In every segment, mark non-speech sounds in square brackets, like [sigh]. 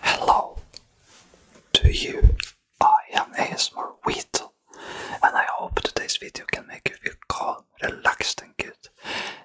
Hello to you. I am ASMR Weetle and I hope today's video can make you feel calm, relaxed and good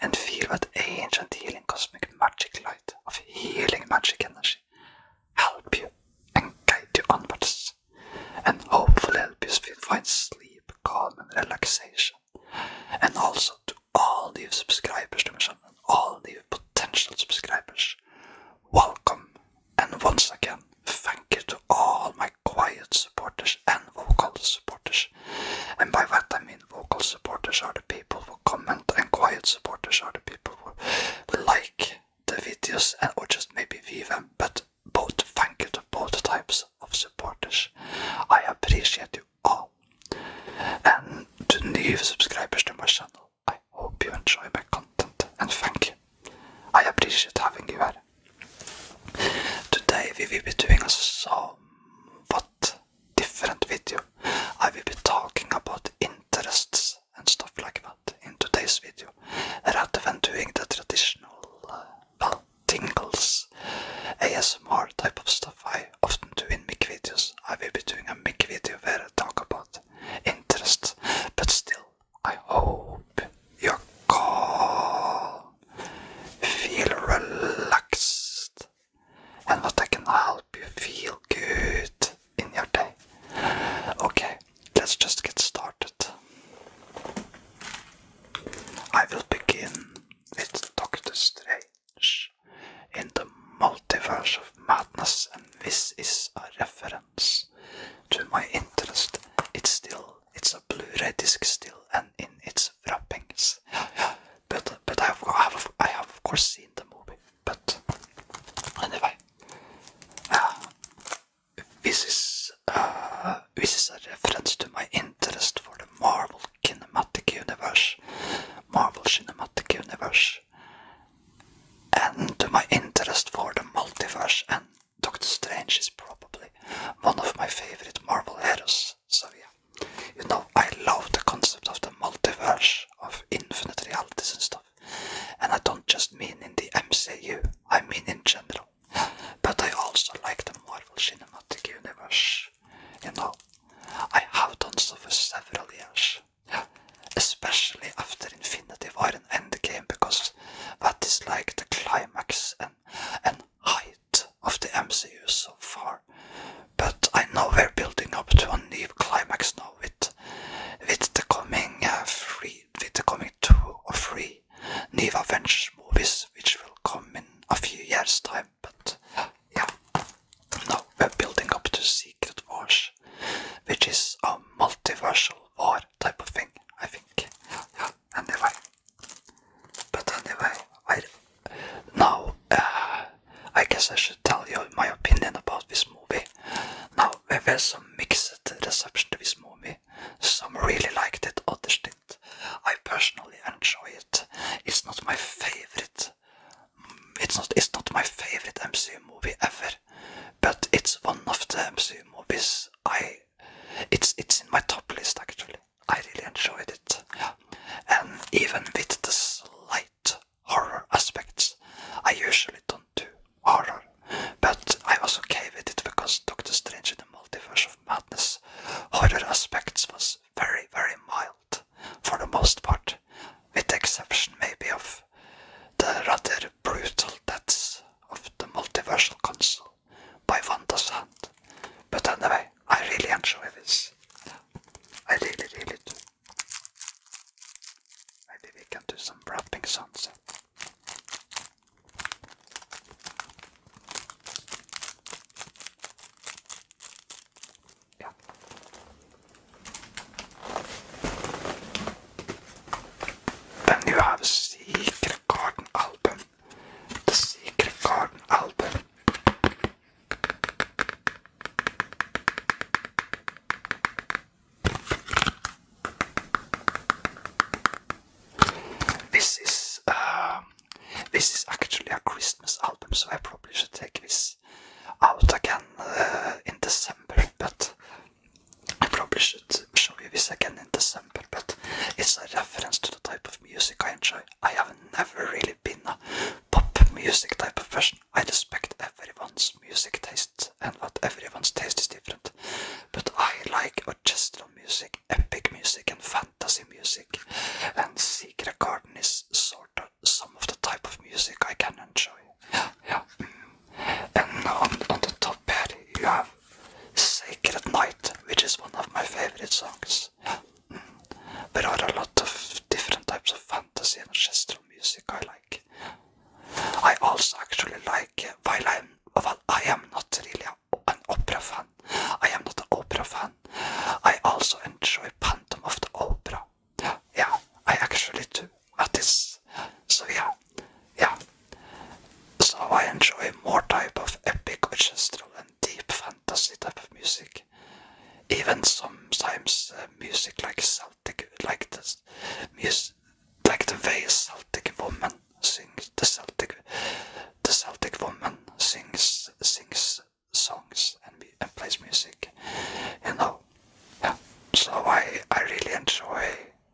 and feel that ancient healing cosmic magic light of healing magic energy help you and guide you onwards and hopefully help you find sleep, calm and relaxation and also to all new subscribers to my channel, all new potential subscribers. Welcome, and once again, thank you to all my quiet supporters and vocal supporters. And by what I mean vocal supporters are the people who comment, and quiet supporters are the people who like the videos and or just maybe view them. But both thank you to both types of supporters. I appreciate you all and new subscribers to my channel. I hope you enjoy my content and thank you. I appreciate having you here. Today we will be doing a what different video. I will be talking about interests and stuff like that in today's video rather than doing the traditional, uh, well, tingles, ASMR type of stuff I often doing mic videos. I will be doing a mic video where I talk about interests, but still, I hope you're calm, feel relaxed, and that I can help you feel good in your day. Okay, let's just get started. I will begin with Doctor Strange in the multiverse of madness, and this is a reference to my interest. It's still, it's a Blu-ray disc still, and in its wrappings. but but I have, I have, of course seen the movie. But anyway, ah, this is uh, this is a reference to my interest for the Marvel Cinematic Universe, Marvel Cinematic Universe, and my interest for the multiverse and Doctor Strange is probably one of my favorite Marvel heroes. So yeah, you know I love the concept of the multiverse, of infinite realities and stuff. And I don't just mean in the MCU, I mean in general. But I also like the Marvel Cinematic Universe. You know, I have done so for several years. Especially after Infinity War and Endgame, because that is like the climax and, and height of the MCU so far. But I know we're building up to a new climax now with, with the coming uh, three, with the coming two or three new Avengers movies, which will come in a few years' time but yeah. Now we're building up to Secret Wars, which is a multiversal war type of thing, I think. anyway. But anyway, I, now uh, I guess I should tell you my opinion about this movie. Now there was some mixed reception to this movie. Some really liked it, others didn't. I personally enjoy it. It's not my favorite it's not it's not my favorite MCU movie ever, but it's one of the MCU movies I. It's it's in my top list actually. I really enjoyed it, and even with the slight horror aspects, I usually don't do horror, but I was okay with it because Doctor Strange in the Multiverse of Madness horror aspects was very very mild for the most part, with the exception maybe of the rather brutal deaths of the multiversal console by Vanda's hand. But anyway, I really enjoy this. I really, really do. Maybe we can do some wrapping songs. Yeah. you have Secret Garden album. The Secret Garden album. This is uh, this is actually a Christmas album, so I probably should take this out again uh, in December, but I probably should show you this again in December, but it's a reference to the type of music I enjoy. I have never really been a pop music type of person. I respect everyone's music taste and what everyone's taste is different. But I like orchestral music, epic music and fantasy music. And Secret Garden is sort of some of the type of music I can enjoy. Yeah. And on, on the top bed you have Sacred Night, which is one of my favorite songs. But mm. there are a lot of different types of fantasy and orchestral music I like. I also actually like, uh, while I'm, well, I am not really an opera fan, I am not an opera fan, I also enjoy Phantom of the Opera yeah, I actually do at this. So yeah, yeah. So I enjoy more type of epic orchestral and deep fantasy type of music. Even sometimes uh, music like Celtic, like this, music, like the way Celtic woman sings. The Celtic, the Celtic woman sings sings songs and, plays music, you know. So I, I really enjoy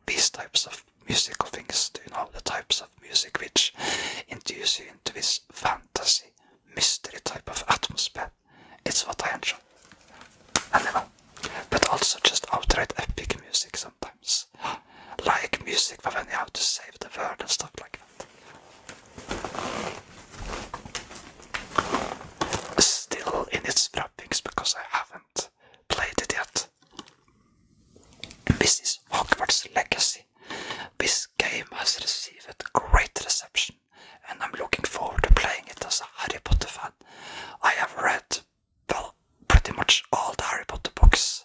these types of musical things, you know, the types of music which induce you into this fantasy, mystery type of atmosphere. It's what I enjoy. you know, but also just outright epic music sometimes. Like music when you have to save the world and stuff like that. Still in its wrappings because I haven't played it yet. This is Hogwarts Legacy. This game has received great reception, and I'm looking forward to playing it as a Harry Potter fan. I have read, well, pretty much all the Harry Potter books,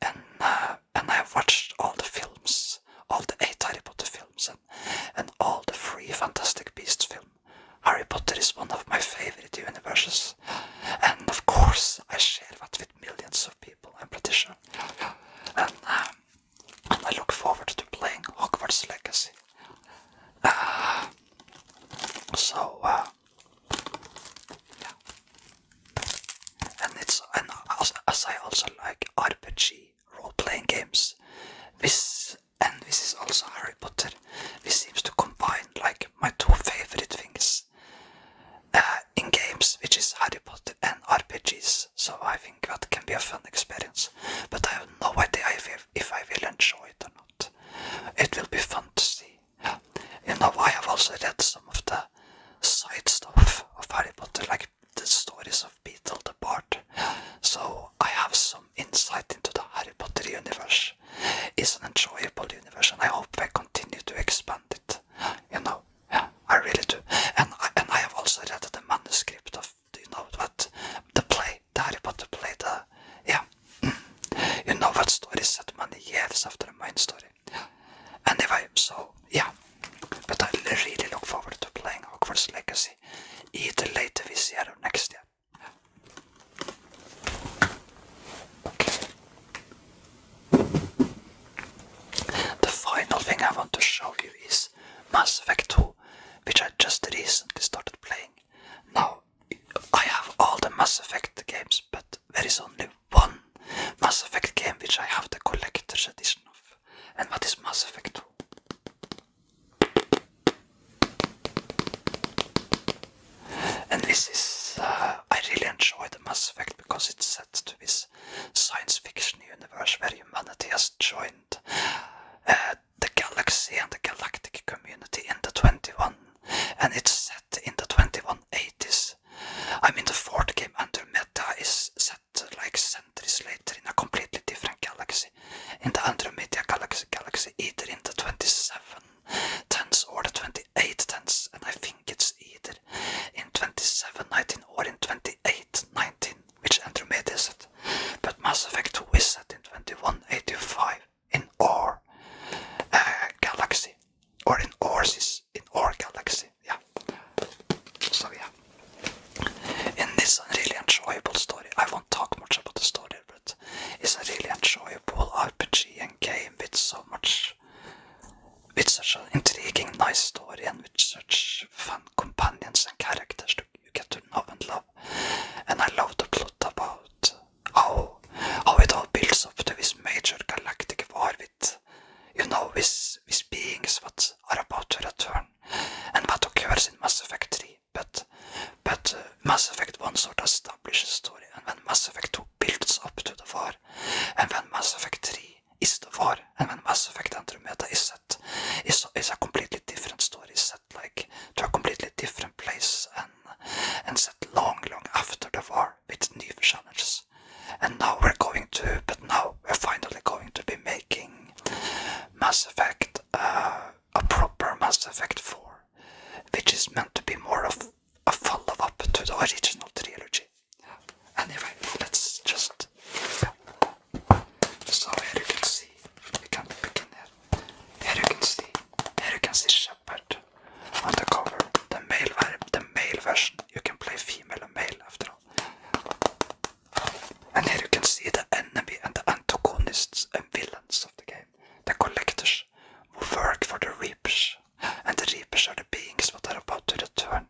and uh, and I have watched all the films, all the eight Harry Potter films and all the free Fantastic Beasts film. Harry Potter is one of my favorite universes, and of course I share that with millions of people, I'm pretty sure. And, um, I look forward to playing Hogwarts Legacy. Uh, so, uh, yeah. and it's and as, as I also like RPG role-playing games. This and this is also Harry Potter. This seems to combine like my two favorite things uh, in games, which is Harry Potter and RPGs. So I think that can be a fun experience. But I have no idea if, if I will enjoy it or not. It will be fun to see. You know, I have also read some of the side stuff of Harry Potter, like the stories of Beetle the Bard, so I have some insight into the Harry Potter universe. It's an enjoyable universe, and I hope I continue to expand it. You know, yeah, I really do. And I, and I have also read the manuscript of, you know, what the play, the Harry Potter play, the yeah, [clears throat] you know what stories that many years after the main story. Anyway, so yeah, but I really look forward to playing Hogwarts Legacy either later this year or next year. Okay. The final thing I want to show you is Mass Effect 2, which I just recently started playing. Now, I have all the Mass Effect games, but there is only one Mass Effect game which I have the collector's edition of. And what is mass effect? And this is, uh, I really enjoy the Mass Effect because it's set to this science fiction universe where humanity has joined uh, the galaxy and the galactic community in the 21. And it's set in the 2180s. I mean, the fourth game, under Meta is set like centuries later in a completely different galaxy, in the Andromeda Galaxy, galaxy either in the 27 tenths or the 28 tenths, and I think it's either in 27 19 or in 28 19, which Andromeda is it? But Mass Effect 2 is set in 2185 in Or uh, galaxy, or in ours in our galaxy, yeah. So yeah. Er and it's a really enjoyable story. I won't talk much about the story, but it's a really enjoyable RPG and game with so much with such an intriguing, nice story and with such fun companions and characters you get to know and love. And I love the plot about how how it all builds up to this major galactic war with you know, with, with beings that are about to return and that occurs in Mass Effect 3. But, but uh, Mass Effect 1 sort of establishes the story, and then Mass Effect 2 builds up to the war, and then Mass Effect 3 is the war, and when Mass Effect Three is set, is, is a completely different story, set like to a completely different place, and, and set long, long after the war with new challenges. And now we're going to, but now we're finally going to be making Mass Effect, uh, a proper Mass Effect 4, which is meant to be more of a follow up to the original trilogy. Anyway, let's just. So, here you can see, we can begin here. Here you can see, here you can see Shepard on the cover, the the male version. You can play female and male after all. And here you can see the er enemy and the antagonists and villains of the game. The collectors who work for the reapers. And the reapers are the beings that are about to return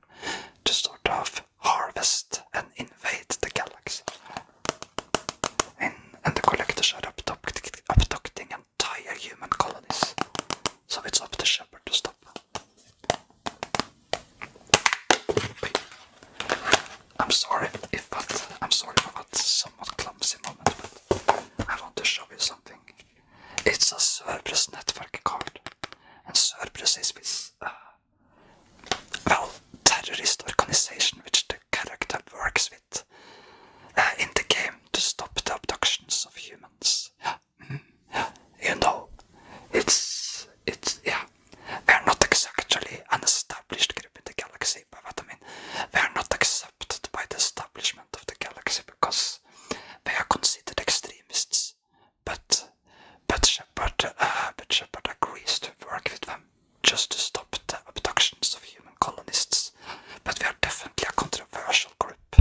to sort of harvest and invade the galaxy. And, the collectors are abducting, abducting entire human colonies. So it's up to Shepard to stop. I'm sorry if I'm sorry for that somewhat clumsy moment, I want to show you something. It's a Cerberus network card, and Cerberus is with uh, well, terrorist organization which the character works with uh, in the game to stop the abductions of humans. [gasps] You know, it's, it's, yeah, we're not exactly an established group in the galaxy, but what I mean, they are not accepted by the establishment of the galaxy because they are considered extremists. But but Shepard, uh, but Shepard agrees to work with them just to stop the abductions of human colonists. But we are definitely a controversial group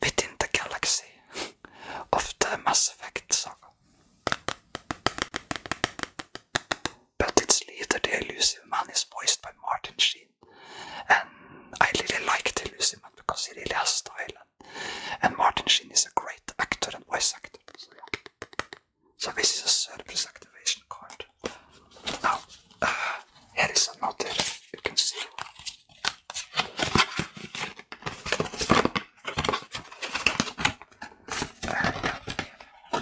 within the galaxy of the Mass Effect saga. But it's later. the Elusive Man is voiced by Martin Sheen. And I really like The Elusive Man because he really has style. And, Martin Sheen is a great actor and voice actor. So, this is a surprise activation card. Now, uh, here is another you can see. And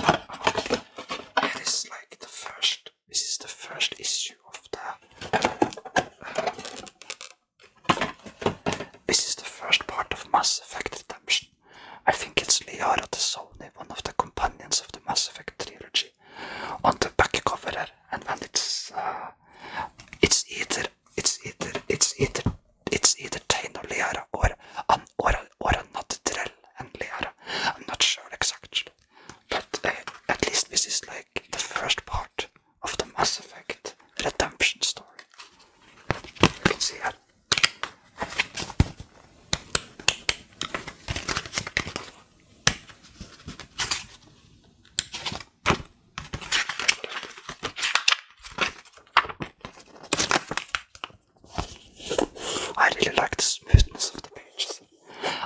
that is like the first, this is the first issue of the, uh, this is the first part of Mass Effect Redemption. I think it's Liara the Sony, one of the companions of the Mass Effect trilogy, on the back cover, and when it's, uh, it's either, it's either, it's either it's either Taino Liara or an um, or a, or another Drell and Liara. I'm not sure exactly, but uh, at least this is like the first part of the Mass Effect Redemption story. You can see that. I really like the smoothness of the pages.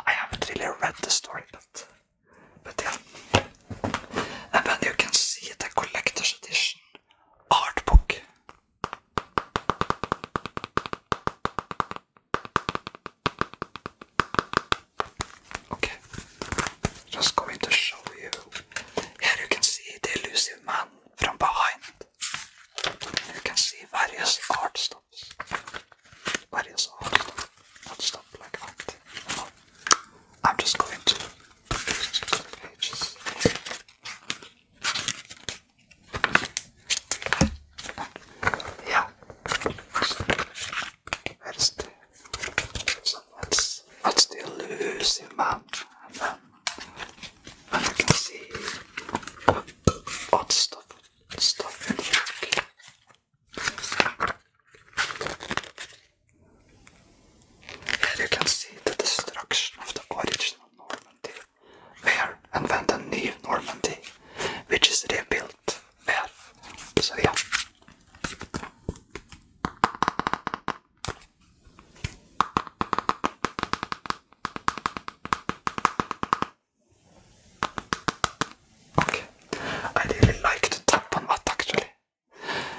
I haven't really read the story, but but yeah. And then you can see the collector's edition art book. Okay. Just going to show you. Here you can see the elusive man from behind. You can see various art stops. Various art stops. I'm just going to pages. Yeah let's let's do lose him out. And you can see odd stuff stuff in the back. Here you can see the destruction of the original Normandy, where and when the new Normandy, which is rebuilt, where. So yeah. Okay, I really like to tap on that actually.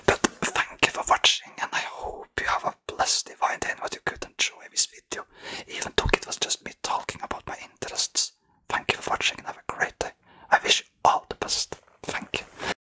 But thank you for watching, and I hope you have a blessed divine day and what you could enjoy this video, even though it was just me talking about my interests. Thank you for watching and have a great day. I wish you all the best. Thank you.